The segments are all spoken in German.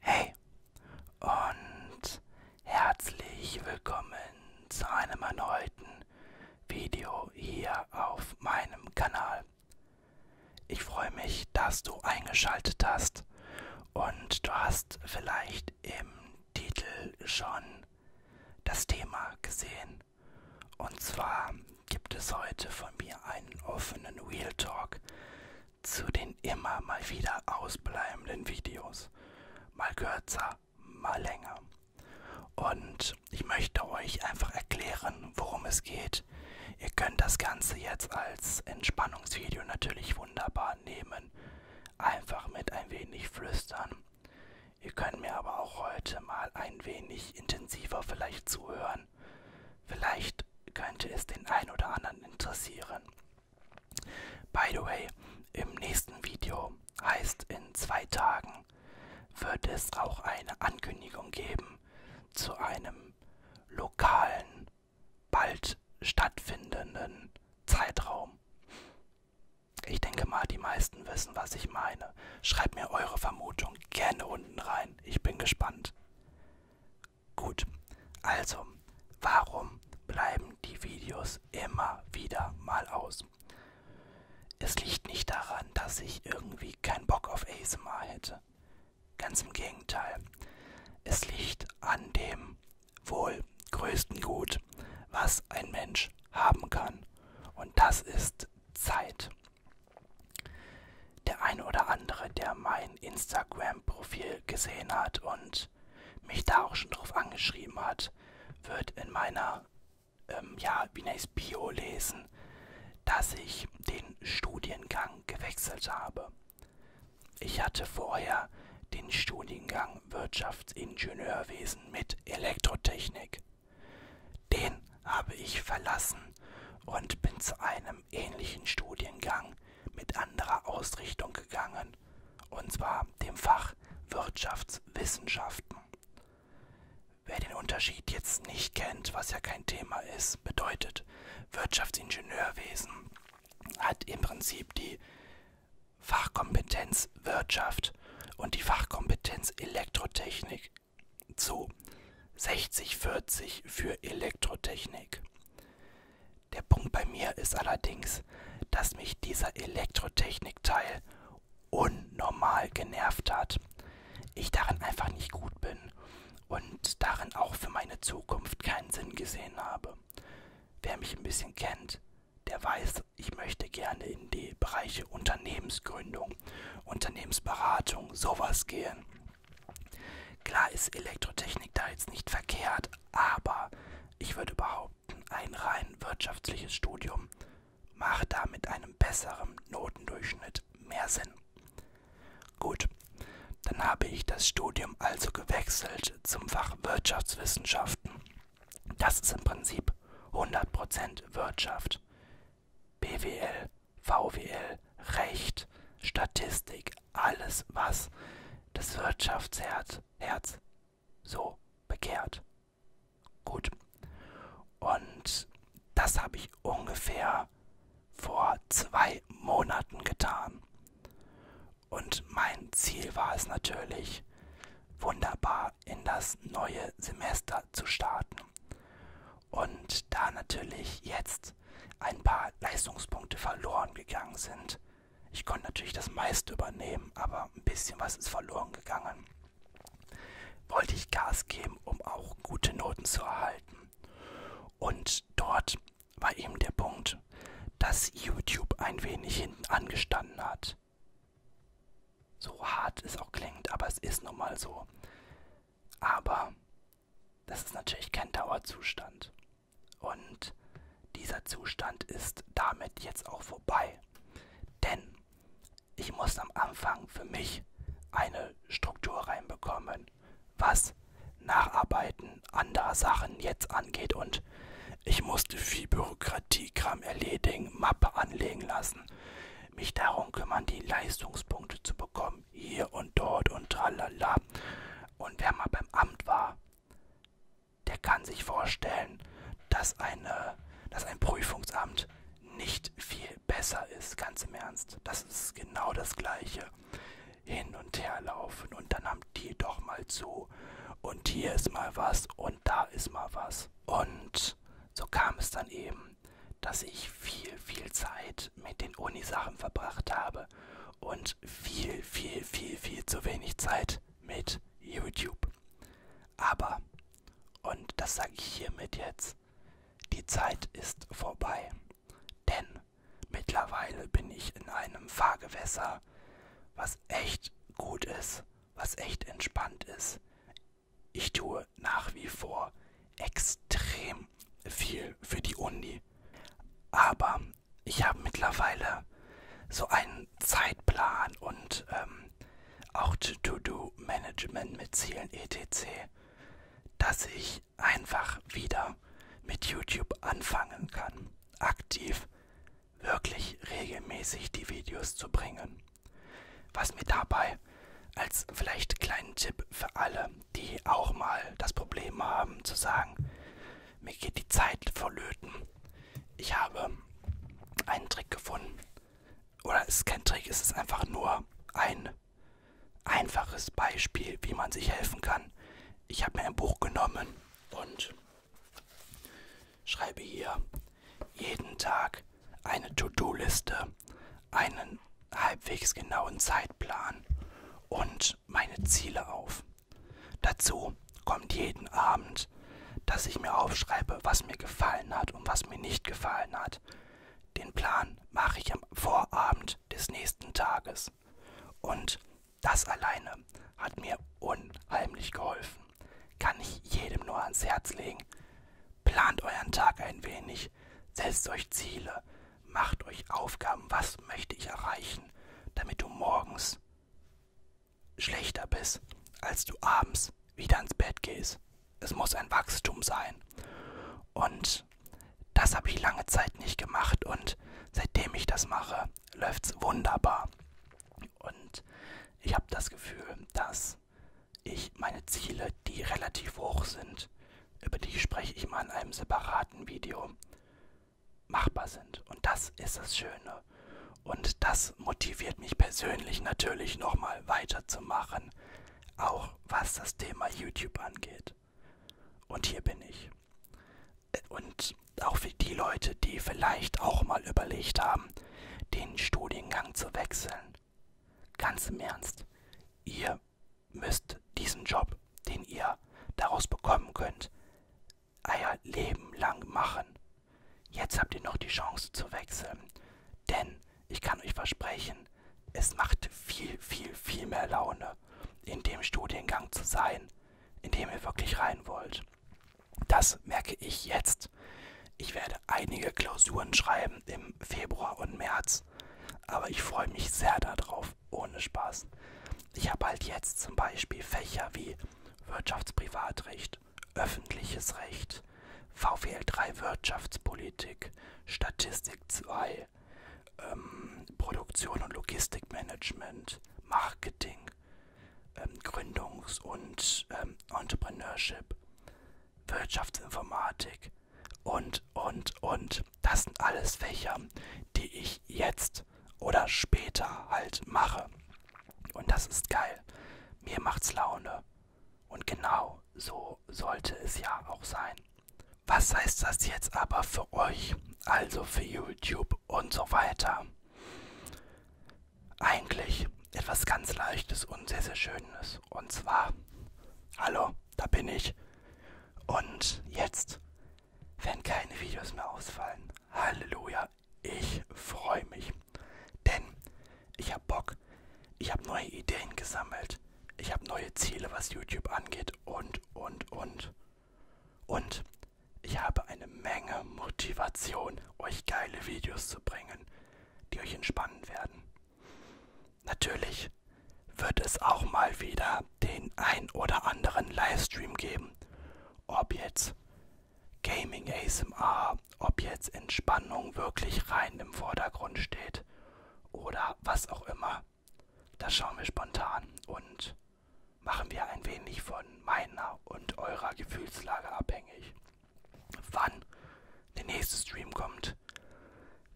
Hey und herzlich willkommen zu einem erneuten Video hier auf meinem Kanal. Ich freue mich, dass du eingeschaltet hast und du hast vielleicht im Titel schon das Thema gesehen. Und zwar gibt es heute von mir einen offenen Wheel Talk zu den immer mal wieder ausbleibenden Videos. Mal kürzer, mal länger. Und ich möchte euch einfach erklären, worum es geht. Ihr könnt das Ganze jetzt als Entspannungsvideo natürlich wunderbar nehmen. Einfach mit ein wenig flüstern. Ihr könnt mir aber auch heute mal ein wenig intensiver vielleicht zuhören hören. Vielleicht könnte es den ein oder anderen interessieren. By the way, im nächsten Video heißt in zwei Tagen wird es auch eine Ankündigung geben zu einem lokalen, bald stattfindenden Zeitraum. Ich denke mal, die meisten wissen, was ich meine. Schreibt mir eure Vermutung gerne unten rein. Ich bin gespannt. Gut, also, warum bleiben die Videos immer wieder mal aus? Es liegt nicht daran, dass ich irgendwie keinen Bock auf ASMR hätte. Ganz im Gegenteil. Es liegt an dem wohl größten Gut, was ein Mensch haben kann. Und das ist Zeit der ein oder andere, der mein Instagram-Profil gesehen hat und mich da auch schon drauf angeschrieben hat, wird in meiner, ähm, ja, wie nennt es, Bio lesen, dass ich den Studiengang gewechselt habe. Ich hatte vorher den Studiengang Wirtschaftsingenieurwesen mit Elektrotechnik. Den habe ich verlassen und bin zu einem einem ähnlichen Studiengang mit anderer Ausrichtung gegangen, und zwar dem Fach Wirtschaftswissenschaften. Wer den Unterschied jetzt nicht kennt, was ja kein Thema ist, bedeutet Wirtschaftsingenieurwesen hat im Prinzip die Fachkompetenz Wirtschaft und die Fachkompetenz Elektrotechnik zu 60-40 für Elektrotechnik. Der Punkt bei mir ist allerdings, dass mich dieser Elektrotechnikteil unnormal genervt hat. Ich darin einfach nicht gut bin und darin auch für meine Zukunft keinen Sinn gesehen habe. Wer mich ein bisschen kennt, der weiß, ich möchte gerne in die Bereiche Unternehmensgründung, Unternehmensberatung, sowas gehen. Klar ist Elektrotechnik da jetzt nicht verkehrt, aber ich würde behaupten, ein rein wirtschaftliches Studium macht da mit einem besseren Notendurchschnitt mehr Sinn. Gut, dann habe ich das Studium also gewechselt zum Fach Wirtschaftswissenschaften. Das ist im Prinzip 100% Wirtschaft. BWL, VWL, Recht, Statistik, alles, was das Wirtschaftsherz Herz so bekehrt. Gut. Und das habe ich ungefähr vor zwei Monaten getan. Und mein Ziel war es natürlich, wunderbar in das neue Semester zu starten und da natürlich jetzt ein paar Leistungspunkte verloren gegangen sind. Ich konnte natürlich das meiste übernehmen, aber ein bisschen was ist verloren gegangen. Wollte ich Gas geben, um auch gute Noten zu erhalten. Und dort war eben der Punkt, dass YouTube ein wenig hinten angestanden hat. So hart es auch klingt, aber es ist nun mal so. Aber das ist natürlich kein Dauerzustand. Und dieser Zustand ist damit jetzt auch vorbei. Denn ich muss am Anfang für mich eine Struktur reinbekommen, was Nacharbeiten anderer Sachen jetzt angeht. Und ich musste viel Bürokratiekram erledigen, Mappe anlegen lassen mich darum kümmern, die Leistungspunkte zu bekommen, hier und dort und tralala. Und wer mal beim Amt war, der kann sich vorstellen, dass, eine, dass ein Prüfungsamt nicht viel besser ist, ganz im Ernst. Das ist genau das Gleiche. Hin und her laufen und dann haben die doch mal zu. Und hier ist mal was und da ist mal was. Und so kam es dann eben, dass ich viel, viel Zeit mit den Uni-Sachen verbracht habe und viel, viel, viel, viel zu wenig Zeit mit YouTube. Aber, und das sage ich hiermit jetzt, die Zeit ist vorbei. Denn mittlerweile bin ich in einem Fahrgewässer, was echt gut ist, was echt entspannt ist ich tue nach wie vor extrem viel für die Uni. Aber ich habe mittlerweile so einen Zeitplan und ähm, auch To-Do-Management mit Zielen etc., dass ich einfach wieder mit YouTube anfangen kann, aktiv wirklich regelmäßig die Videos zu bringen. Was mir dabei als vielleicht kleinen Tipp für alle, die auch mal das Problem haben, zu sagen, mir geht die Zeit verlöten. Ich habe einen Trick gefunden. Oder es ist kein Trick, es ist einfach nur ein einfaches Beispiel, wie man sich helfen kann. Ich habe mir ein Buch genommen und schreibe hier jeden Tag eine To-Do-Liste, einen halbwegs genauen Zeitplan und meine Ziele auf. Dazu kommt jeden Abend, dass ich mir aufschreibe, was mir gefallen hat und was mir nicht gefallen hat. Den Plan mache ich am Vorabend des nächsten Tages. Und das alleine hat mir unheimlich geholfen. Kann ich jedem nur ans Herz legen. Plant euren Tag ein wenig, setzt euch Ziele, macht euch Aufgaben, was möchte ich erreichen, damit du morgens schlechter bist, als du abends wieder ins Bett gehst. Es muss ein Wachstum sein. Und das habe ich lange Zeit nicht gemacht und seitdem ich das mache, läuft's wunderbar. Und ich habe das Gefühl, dass ich meine Ziele, die relativ hoch sind, über die spreche ich mal in einem separaten Video, machbar sind. Und das ist das Schöne. Und das motiviert mich persönlich natürlich nochmal weiterzumachen, auch was das Thema YouTube angeht. Und hier bin ich. Und auch für die Leute, die vielleicht auch mal überlegt haben, den Studiengang zu wechseln. Ganz im Ernst, ihr müsst diesen Job, den ihr daraus bekommen könnt, euer Leben lang machen. Jetzt habt ihr noch die Chance zu wechseln, denn ich kann euch versprechen, es macht viel, viel, viel mehr Laune, in dem Studiengang zu sein, in dem ihr wirklich rein wollt. Das merke ich jetzt. Ich werde einige Klausuren schreiben im Februar und März, aber ich freue mich sehr darauf, ohne Spaß. Ich habe halt jetzt zum Beispiel Fächer wie Wirtschaftsprivatrecht, öffentliches Recht, VWL 3 Wirtschaftspolitik, Statistik 2, ähm, Produktion und Logistikmanagement, Marketing, ähm, Gründungs- und ähm, Entrepreneurship, Wirtschaftsinformatik und, und, und. Das sind alles Fächer, die ich jetzt oder später halt mache. Und das ist geil. Mir macht's Laune. Und genau so sollte es ja auch sein. Was heißt das jetzt aber für euch, also für YouTube und so weiter? eigentlich etwas ganz Leichtes und sehr, sehr Schönes. Und zwar, hallo, da bin ich. Und jetzt werden keine Videos mehr ausfallen. Halleluja, ich freue mich. Denn ich habe Bock, ich habe neue Ideen gesammelt, ich habe neue Ziele, was YouTube angeht und, und, und. Und ich habe eine Menge Motivation euch geile Videos zu bringen, die euch entspannen werden. Natürlich wird es auch mal wieder den ein oder anderen Livestream geben. Ob jetzt Gaming ASMR, ob jetzt Entspannung wirklich rein im Vordergrund steht oder was auch immer. Das schauen wir spontan und machen wir ein wenig von meiner und eurer Gefühlslage abhängig. Wann der nächste Stream kommt,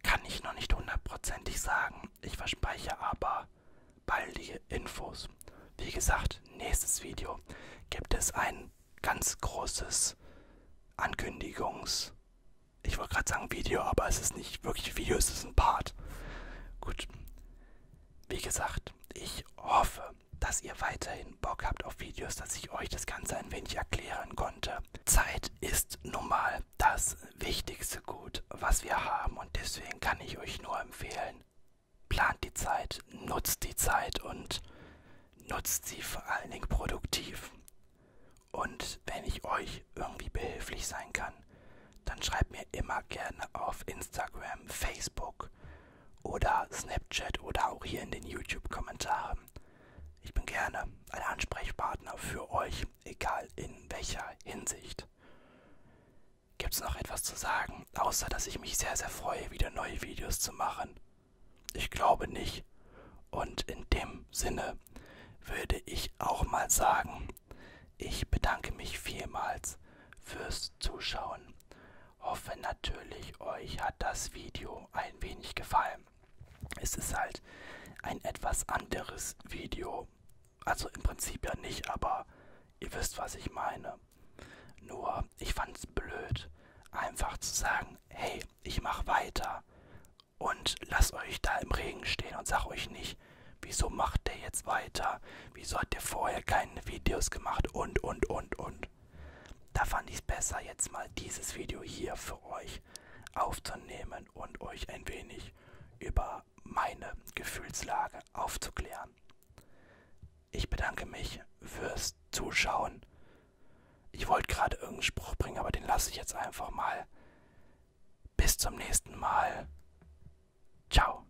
kann ich noch nicht hundertprozentig sagen. Ich verspreche aber baldige Infos. Wie gesagt, nächstes Video gibt es ein ganz großes Ankündigungs... Ich wollte gerade sagen Video, aber es ist nicht wirklich Video, es ist ein Part. Gut. Wie gesagt, ich hoffe, dass ihr weiterhin Bock habt auf Videos, dass ich euch das Ganze ein wenig erklären konnte. Zeit ist nun mal das wichtigste Gut, was wir haben und deswegen kann ich euch nur empfehlen, plant die Zeit, nutzt die Zeit und nutzt sie vor allen Dingen produktiv. Und wenn ich euch irgendwie behilflich sein kann, dann schreibt mir immer gerne auf Instagram, Facebook oder Snapchat oder auch hier in den YouTube-Kommentaren. Ich bin gerne ein Ansprechpartner für euch, egal in welcher Hinsicht. Gibt es noch etwas zu sagen, außer dass ich mich sehr, sehr freue, wieder neue Videos zu machen? Ich glaube nicht. Und in dem Sinne würde ich auch mal sagen, ich bedanke mich vielmals fürs Zuschauen Hoffe natürlich, euch hat das Video ein wenig gefallen. Es ist halt ein etwas anderes Video. Also im Prinzip ja nicht, aber ihr wisst, was ich meine. Nur, ich fand's blöd, einfach zu sagen, hey, ich mach weiter und lasst euch da im Regen stehen und sag euch nicht, wieso macht der jetzt weiter? Wieso hat der vorher keine Videos gemacht? Und, und, und, und. Da fand ich es besser, jetzt mal dieses Video hier für euch aufzunehmen und euch ein wenig über meine Gefühlslage aufzuklären. Ich bedanke mich fürs Zuschauen. Ich wollte gerade irgendeinen Spruch bringen, aber den lasse ich jetzt einfach mal. Bis zum nächsten Mal. Ciao.